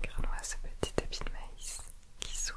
Regarde-moi ce petit tapis de maïs qui sourit.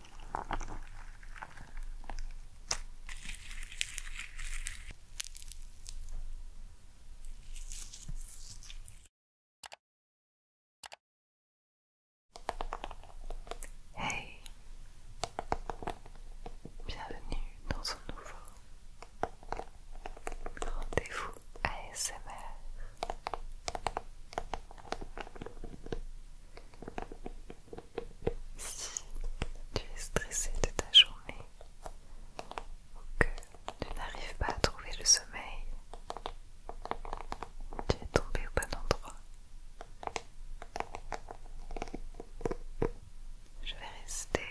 Hey, bienvenue dans un nouveau rendez-vous ASMR. Si tu es stressé de ta journée ou que tu n'arrives pas à trouver le sommeil, tu es tombé au bon endroit. Je vais rester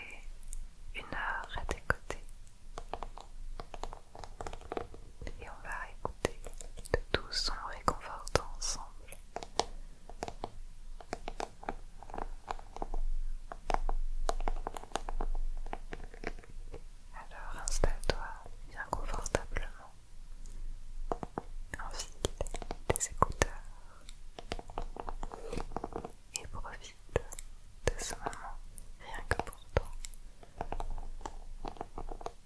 une heure à tes côtés et on va écouter de tous sons réconfortant ensemble. Alors installe-toi bien confortablement, enfile tes écouteurs et profite de ce moment rien que pour toi.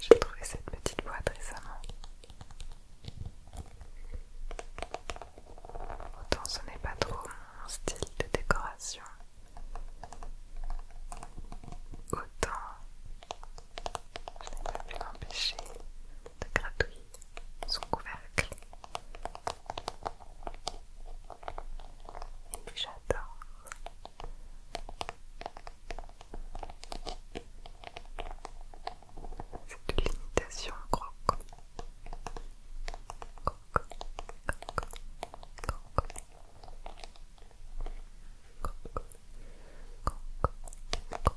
J'ai trouvé cette petite boîte récemment. Autant ce n'est pas trop mon style de décoration. Autant je n'ai pas pu m'empêcher de gratouiller son couvercle. Et j'adore. C'est l'imitation croc, croc, Croque. Croque. Croque. Croque. Croque. Croque.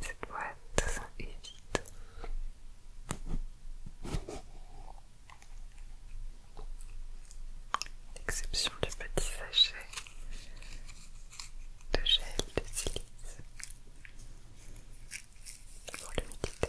Cette boîte est vide. L'exception du petit sachet de gel de silice pour l'humidité.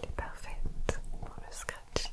Elle est parfaite pour le scratching.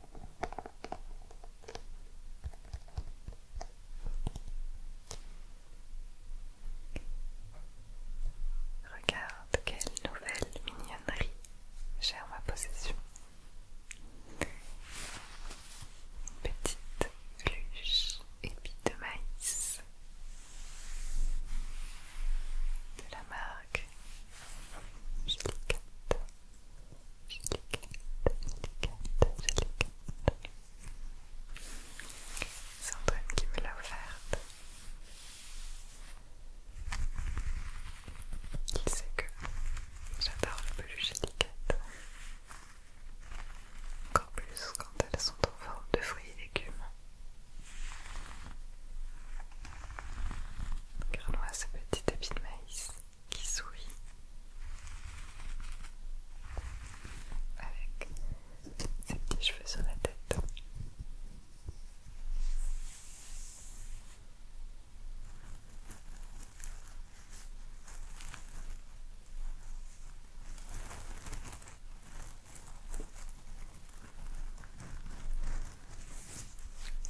Regarde quelle nouvelle mignonnerie j'ai en ma possession. Une petite luche épi de maïs de la marque Jellicate, C'est Antoine qui me l'a offerte. Il sait que j'adore les peluches Jellicate. Encore plus quand elles sont en forme de fruits et légumes. Regarde-moi ce petit habit de maïs qui sourit avec ses petits cheveux sur la tête.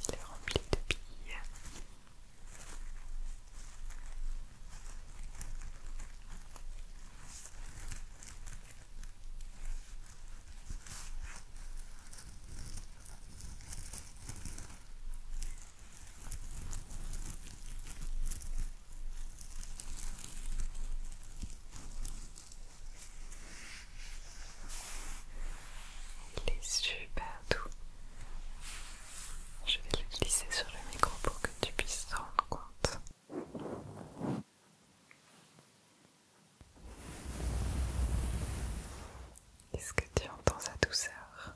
Il est rempli de billes. Il est super doux. Je vais le glisser sur le micro pour que tu puisses te rendre compte. Est-ce que tu entends sa douceur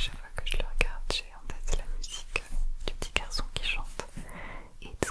Chaque fois que je le regarde, j'ai en tête la musique du petit garçon qui chante It's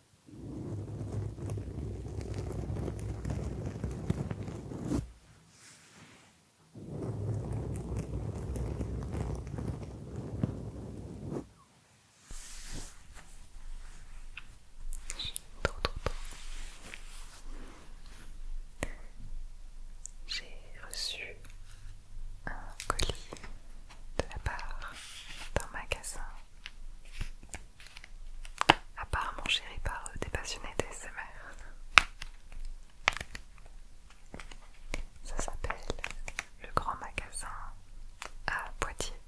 J'ai reçu un colis de la part d'un magasin apparemment géré par euh, des passionnés d'ASMR. Ça s'appelle le grand magasin à Poitiers.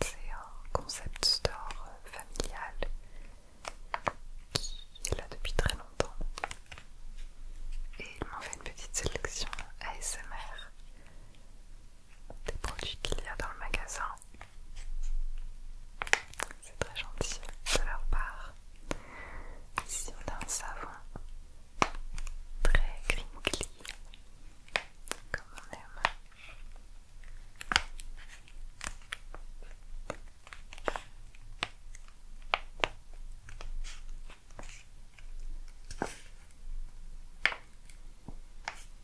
C'est un concept store euh, familial qui est là depuis très longtemps. Et ils m'ont fait une petite sélection ASMR des produits qu'il y a dans le magasin. C'est très gentil de leur part. Ici on a un savon très crinkly, comme on aime.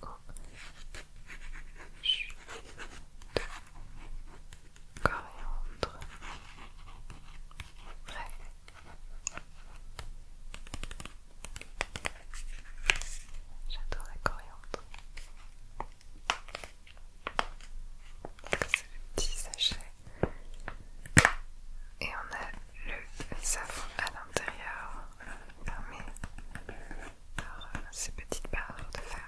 coriandre frais j'adore la coriandre c'est le petit sachet et on a le savon à l'intérieur euh, fermé par euh, ces petites barres de fer.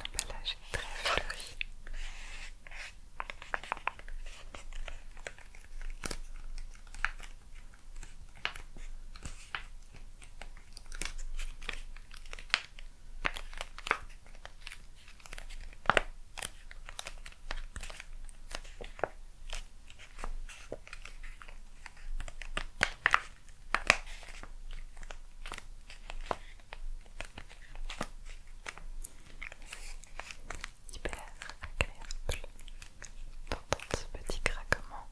L'emballage très fleuri. Hyper agréable d'entendre ce petit craquement.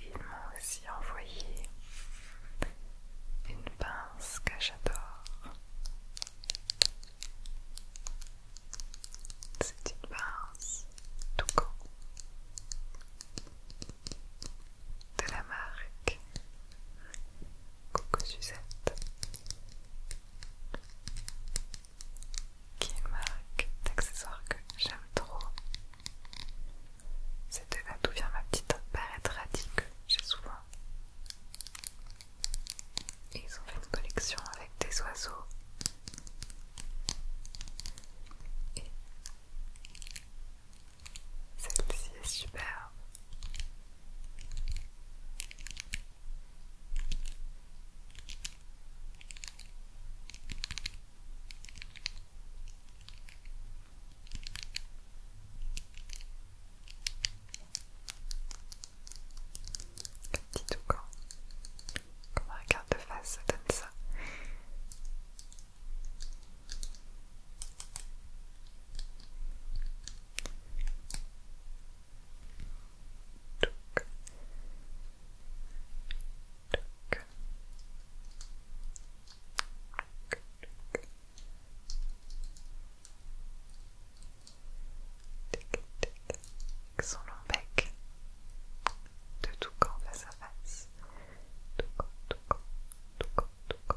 Il m'a aussi envoyé une pince que j'adore. C'est une pince toucan de la marque Coco Suzette qui est une marque d'accessoires que j'aime trop. C'était là d'où vient ma petite barrette radie que j'ai souvent. ils ont fait une collection avec des oiseaux. Et celle-ci est superbe. petit toucan. Quand on garde de face, ça donne ça. Toc. Toc. Son long bec de toucan face à face. Toucan, toucan, toucan, toucan,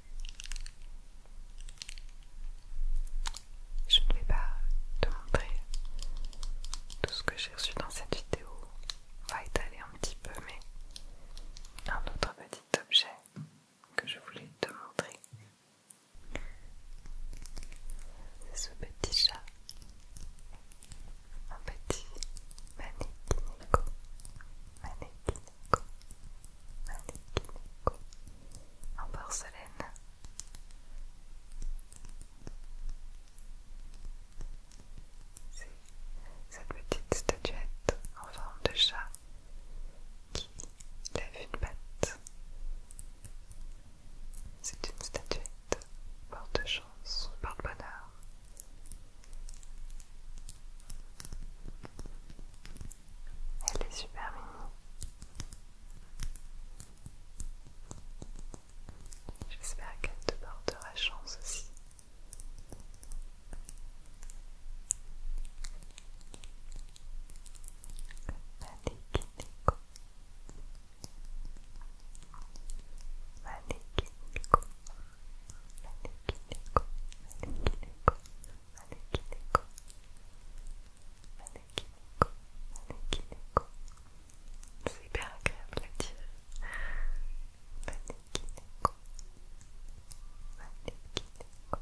Je ne vais pas te montrer tout ce que j'ai reçu dans cette vidéo. On va étaler un petit peu, mais un autre petit objet que je voulais te montrer. C'est ce petit chat. Un petit mannequinico en porcelaine. C'est cette petite statuette en forme de chat qui lève une patte. C'est une statuette porte-chance, porte-bonheur. Elle est super mimi. J'espère qu'elle te portera chance aussi. Manekineko. Manekineko. Manekineko. Manekineko. Manekineko Manekineko Manekineko C'est hyper agréable à dire Manekineko Manekineko Manekineko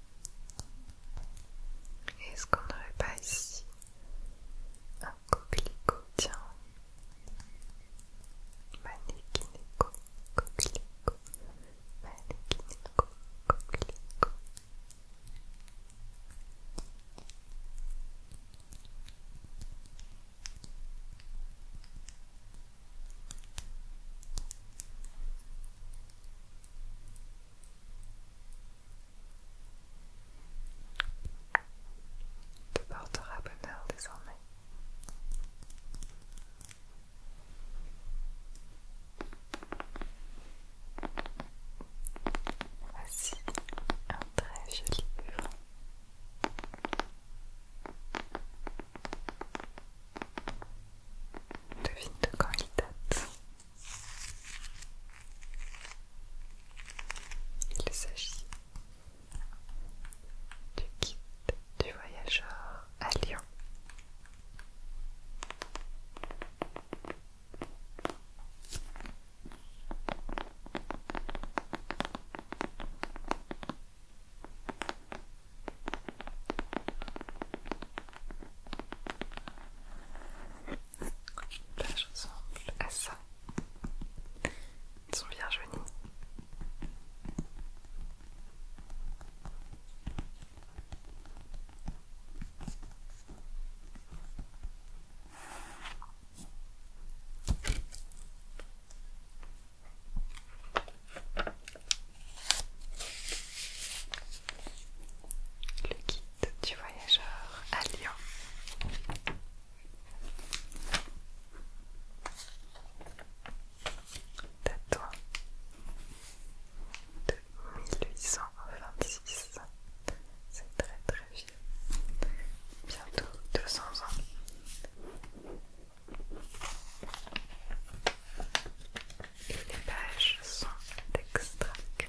Est-ce qu'on n'aurait pas ici un coquelicot Tiens, manékinéco, coquelicot, manékinéco, coquelicot te portera bonheur désormais. Voici un très joli livre. Devine de quand il date. Il s'agit du kit du voyageur à Lyon. Là, je ressemble à ça. Ils sont bien jolis le guide du voyageur à Lyon. Datant de 1826, c'est très très vieux, bientôt 200 ans. Et les pages sont extra clés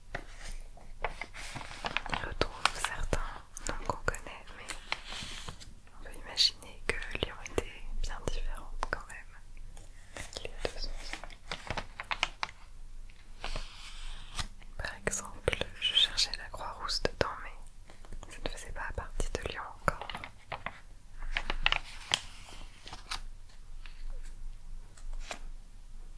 y retrouve certains noms qu'on connaît, mais on peut imaginer que Lyon était bien différente quand même. deux Par exemple, je cherchais la Croix-Rousse dedans, mais ça ne faisait pas partie de Lyon encore.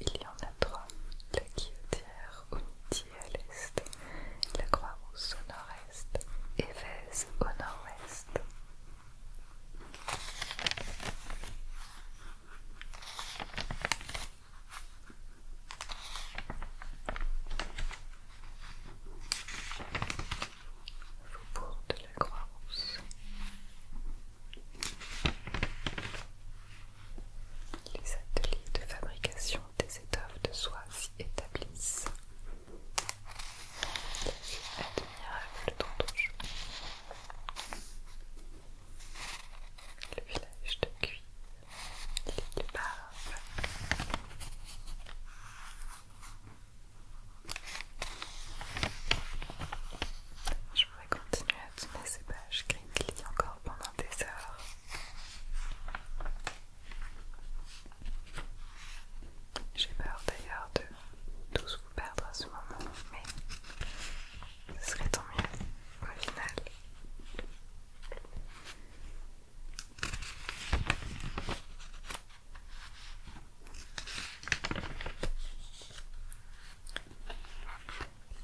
Il y en a trois, la Guillotière au à l'est, la Croix-Rousse au nord-est et Vèze au nord-ouest. Les ateliers de fabrication des étoffes de soie s'y établissent. La vue Le village de Cuy, l'île de je vais continuer à tourner ces pages lisent encore pendant des heures. J'ai peur d'ailleurs de tous vous perdre à ce moment, mais ce serait tant mieux au final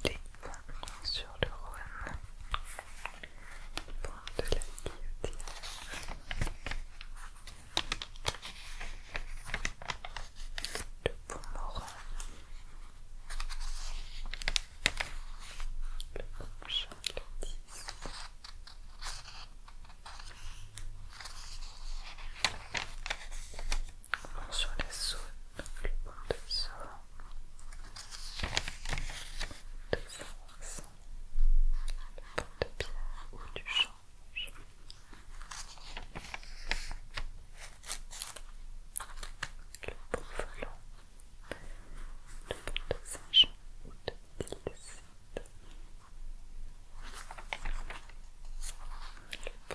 les points sur le Rhône, point de la guillotine. de pont Moran, le pont sur les sauts, le pont de France, de le de pierre ou du change. Le pont volant, le pont de Saint-Jean ou de Tilside, le pont de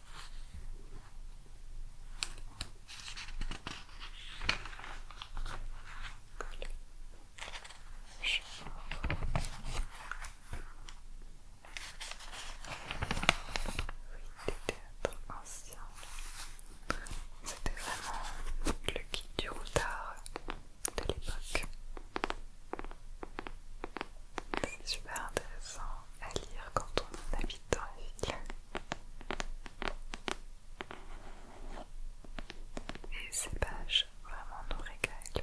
Oui, des théâtres anciens. C'était vraiment le guide du routard de l'époque. C'est super intéressant à lire quand on habite dans la ville. Et ces pages vraiment nous régalent.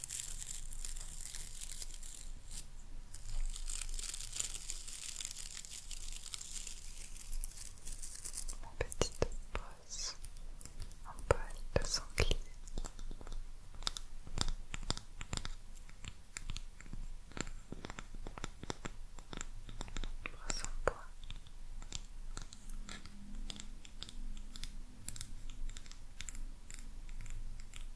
Mon petite brosse en poil de sanglier. Brosse en bois.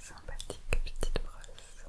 Sympathique petite brosse.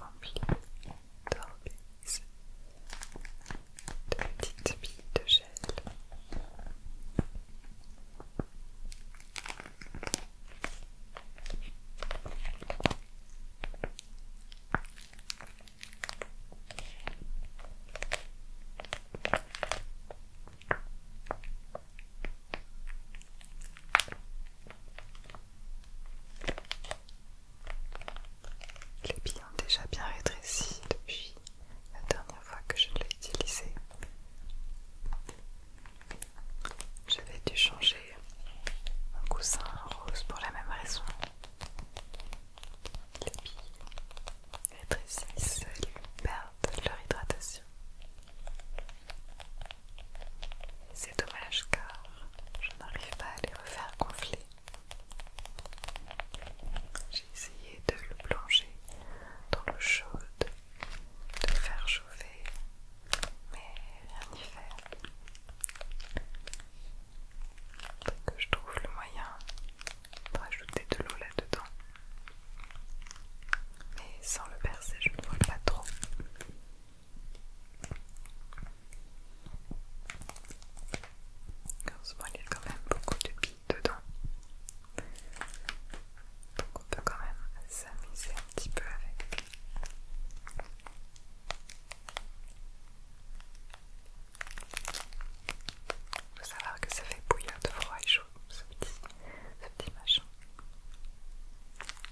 rempli de petites billes de gel. Les billes ont déjà bien rétréci depuis la dernière fois que je l'ai utilisé. J'avais dû changer mon coussin rose pour la même raison. Les billes rétrécissent et perdent leur hydratation. C'est dommage car je n'arrive pas à les refaire gonfler. J'ai essayé de le plonger dans l'eau chaude, de le faire chauffer, mais rien n'y fait. Peut-être que je trouve le moyen d'ajouter de l'eau là-dedans. Mais sans le percer, je ne vois pas trop. moment, il y a quand même beaucoup de billes dedans. Donc on peut quand même s'amuser un petit peu avec. Il faut savoir que ça fait bouillir de froid et chaud ce petit, ce petit machin.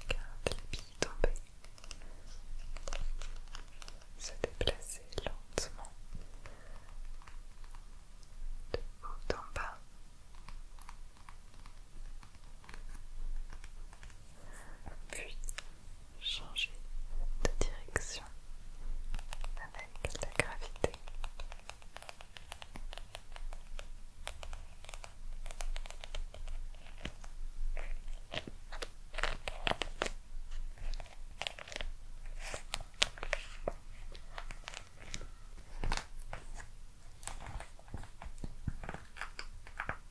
Regarde les billes tomber, se déplacer lentement de haut en bas puis changer de direction avec la gravité.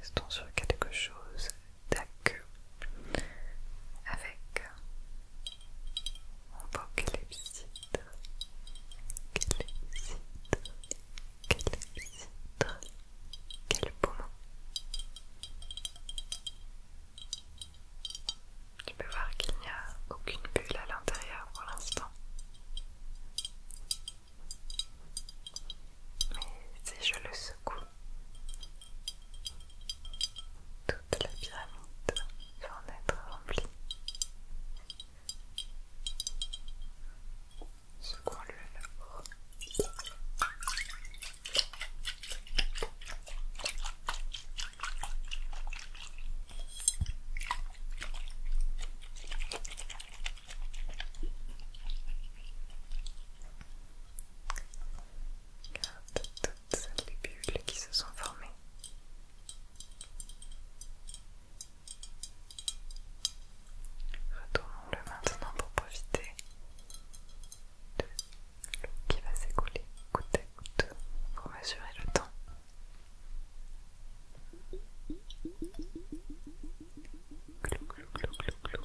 Restons sur quelque chose ta queue avec mon beau quelle clépsydre, clépsydre, quel beau mot. Tu peux voir qu'il n'y a aucune bulle à l'intérieur pour l'instant mais si je le secoue, toute la pyramide va en être remplie. Secouons-le Regarde toutes les bulles qui se sont formées. Retournons-le maintenant pour profiter de l'eau qui va s'écouler goutte à pour mesurer le temps. Clou, clou, clou, clou, clou.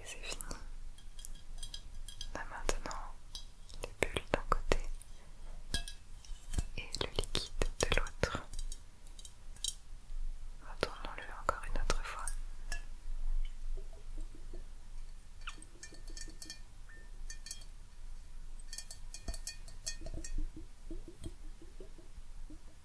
Et c'est fini. a maintenant, les bulles d'un côté et le liquide de l'autre. Retournons-le encore une autre fois.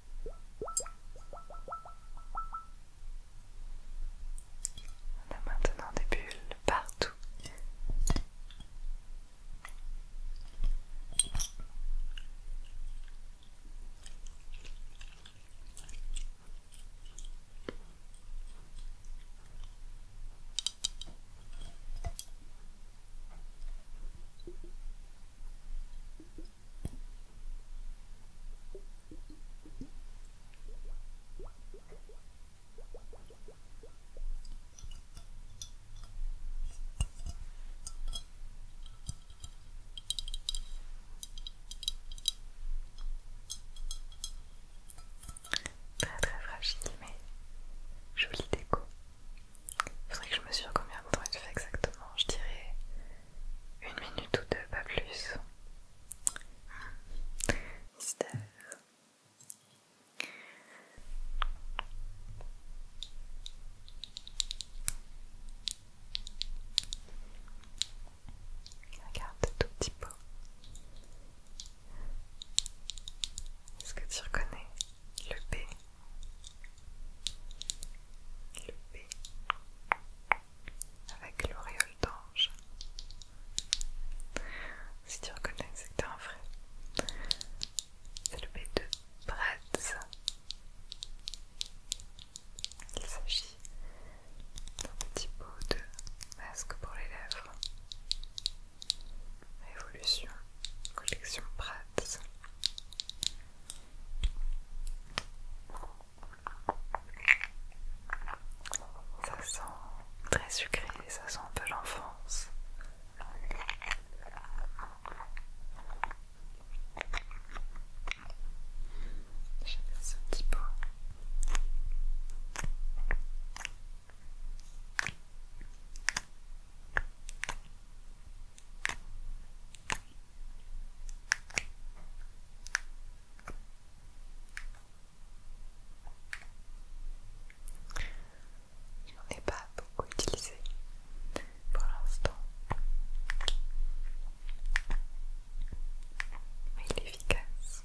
On a maintenant des bulles partout. Très très fragile mais jolie déco. Faudrait que je me mesure combien de temps il fait exactement. Je dirais une minute ou deux, pas plus. Regarde tout petit pot. Est-ce que tu reconnais le B le B avec l'auréole d'ange. Si tu reconnais, c'est que un vrai. C'est le B de Bratz. Il s'agit d'un petit pot de masque pour les lèvres. Révolution, collection Bratz. Ça sent très sucré, ça sent un peu l'enfance. J'aime ce petit pot. Je n'en ai pas beaucoup utilisé pour l'instant, mais il est efficace.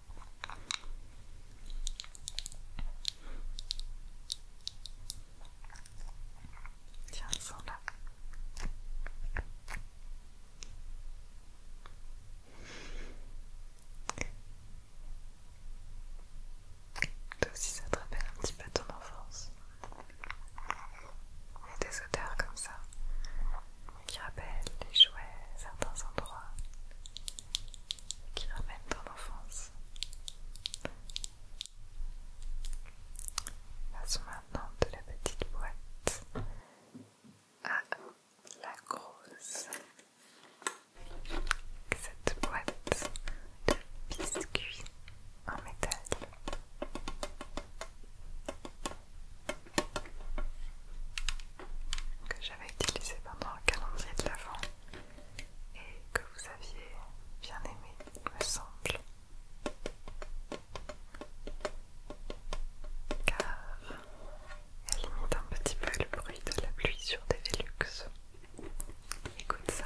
Tiens, ils sont là. Toi aussi, ça te rappelle un petit peu ton enfance. des odeurs comme ça qui rappellent les jouets, à certains endroits, qui ramène ton enfance. Passons maintenant de la petite boîte à la grosse. Cette boîte de biscuits en métal. Que j'avais utilisé pendant le calendrier de l'avant et que vous aviez bien aimé, me semble. Car elle imite un petit peu le bruit de la pluie sur des Velux. Écoute ça.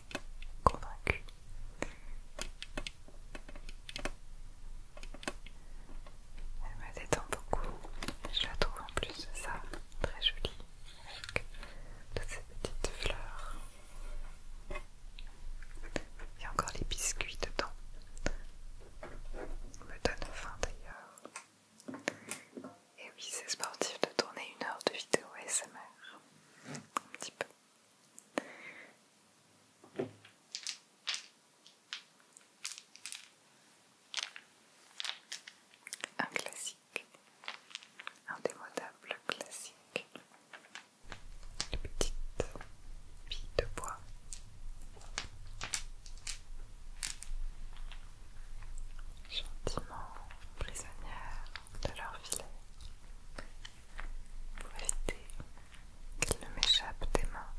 convaincue. Elle me détend beaucoup. Je la trouve en plus de ça très jolie avec toutes ces petites fleurs. Il y a encore les biscuits dedans. me donne faim d'ailleurs. Et oui, c'est sportif de tourner une heure de vidéo SMR. Un petit peu. Un classique, un indémodable classique, une petite bille de bois. Gentiment prisonnière de leur filet pour éviter qu'ils ne m'échappent des mains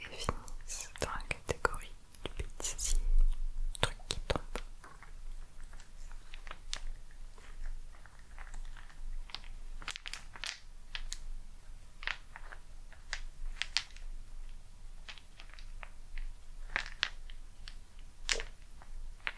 et finissent dans la catégorie du petit truc qui tombe.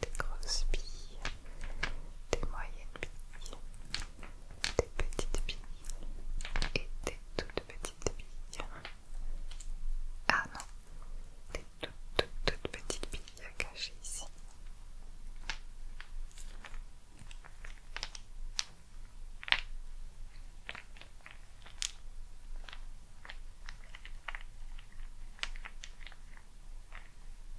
des grosses billes, des moyennes billes, des petites billes et des toutes petites billes. Ah non, des toutes, toutes, toutes petites billes cachées ici.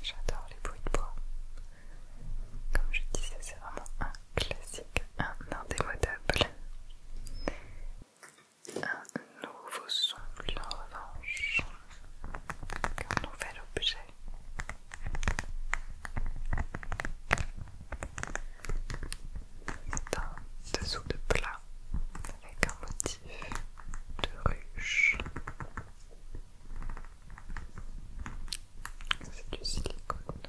J'adore les bruits de bois. Comme je disais, c'est vraiment un classique un indémodable. Un nouveau son, en revanche, un nouvel objet. un dessous de plat avec un motif de ruche. C'est du silicone.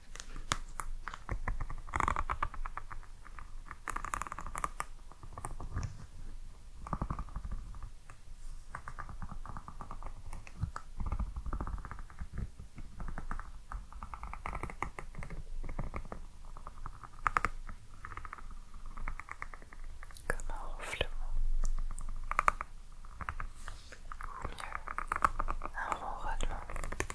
Comme un ronflement, ou mieux, un ronronnement.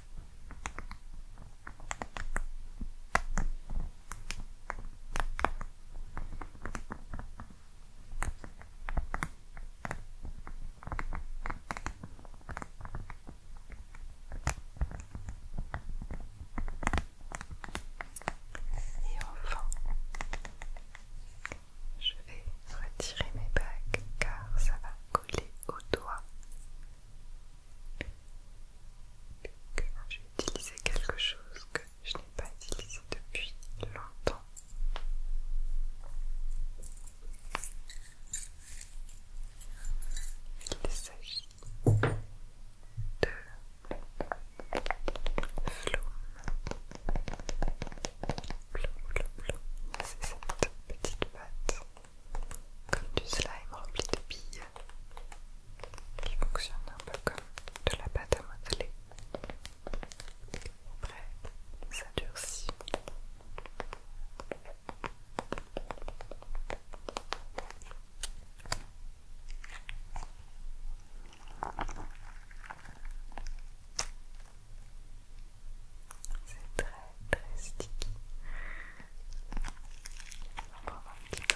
Et enfin, je vais retirer mes bagues car ça va coller au doigt que j'ai utilisé quelque chose que je n'ai pas utilisé depuis longtemps. Il s'agit de Floum C'est cette petite pâte comme du slime rempli de billes qui fonctionne un peu comme de la pâte à modeler. Après, ça durcit. C'est très très sticky. On un petit peu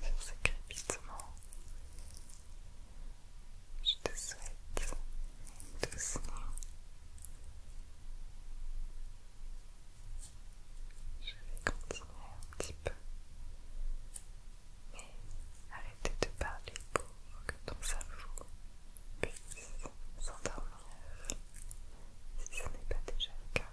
Sur ces crépitements je te souhaite doucement. Je vais continuer un petit peu, mais arrêtez de parler pour que ton cerveau puisse s'endormir si ce n'est pas déjà le cas.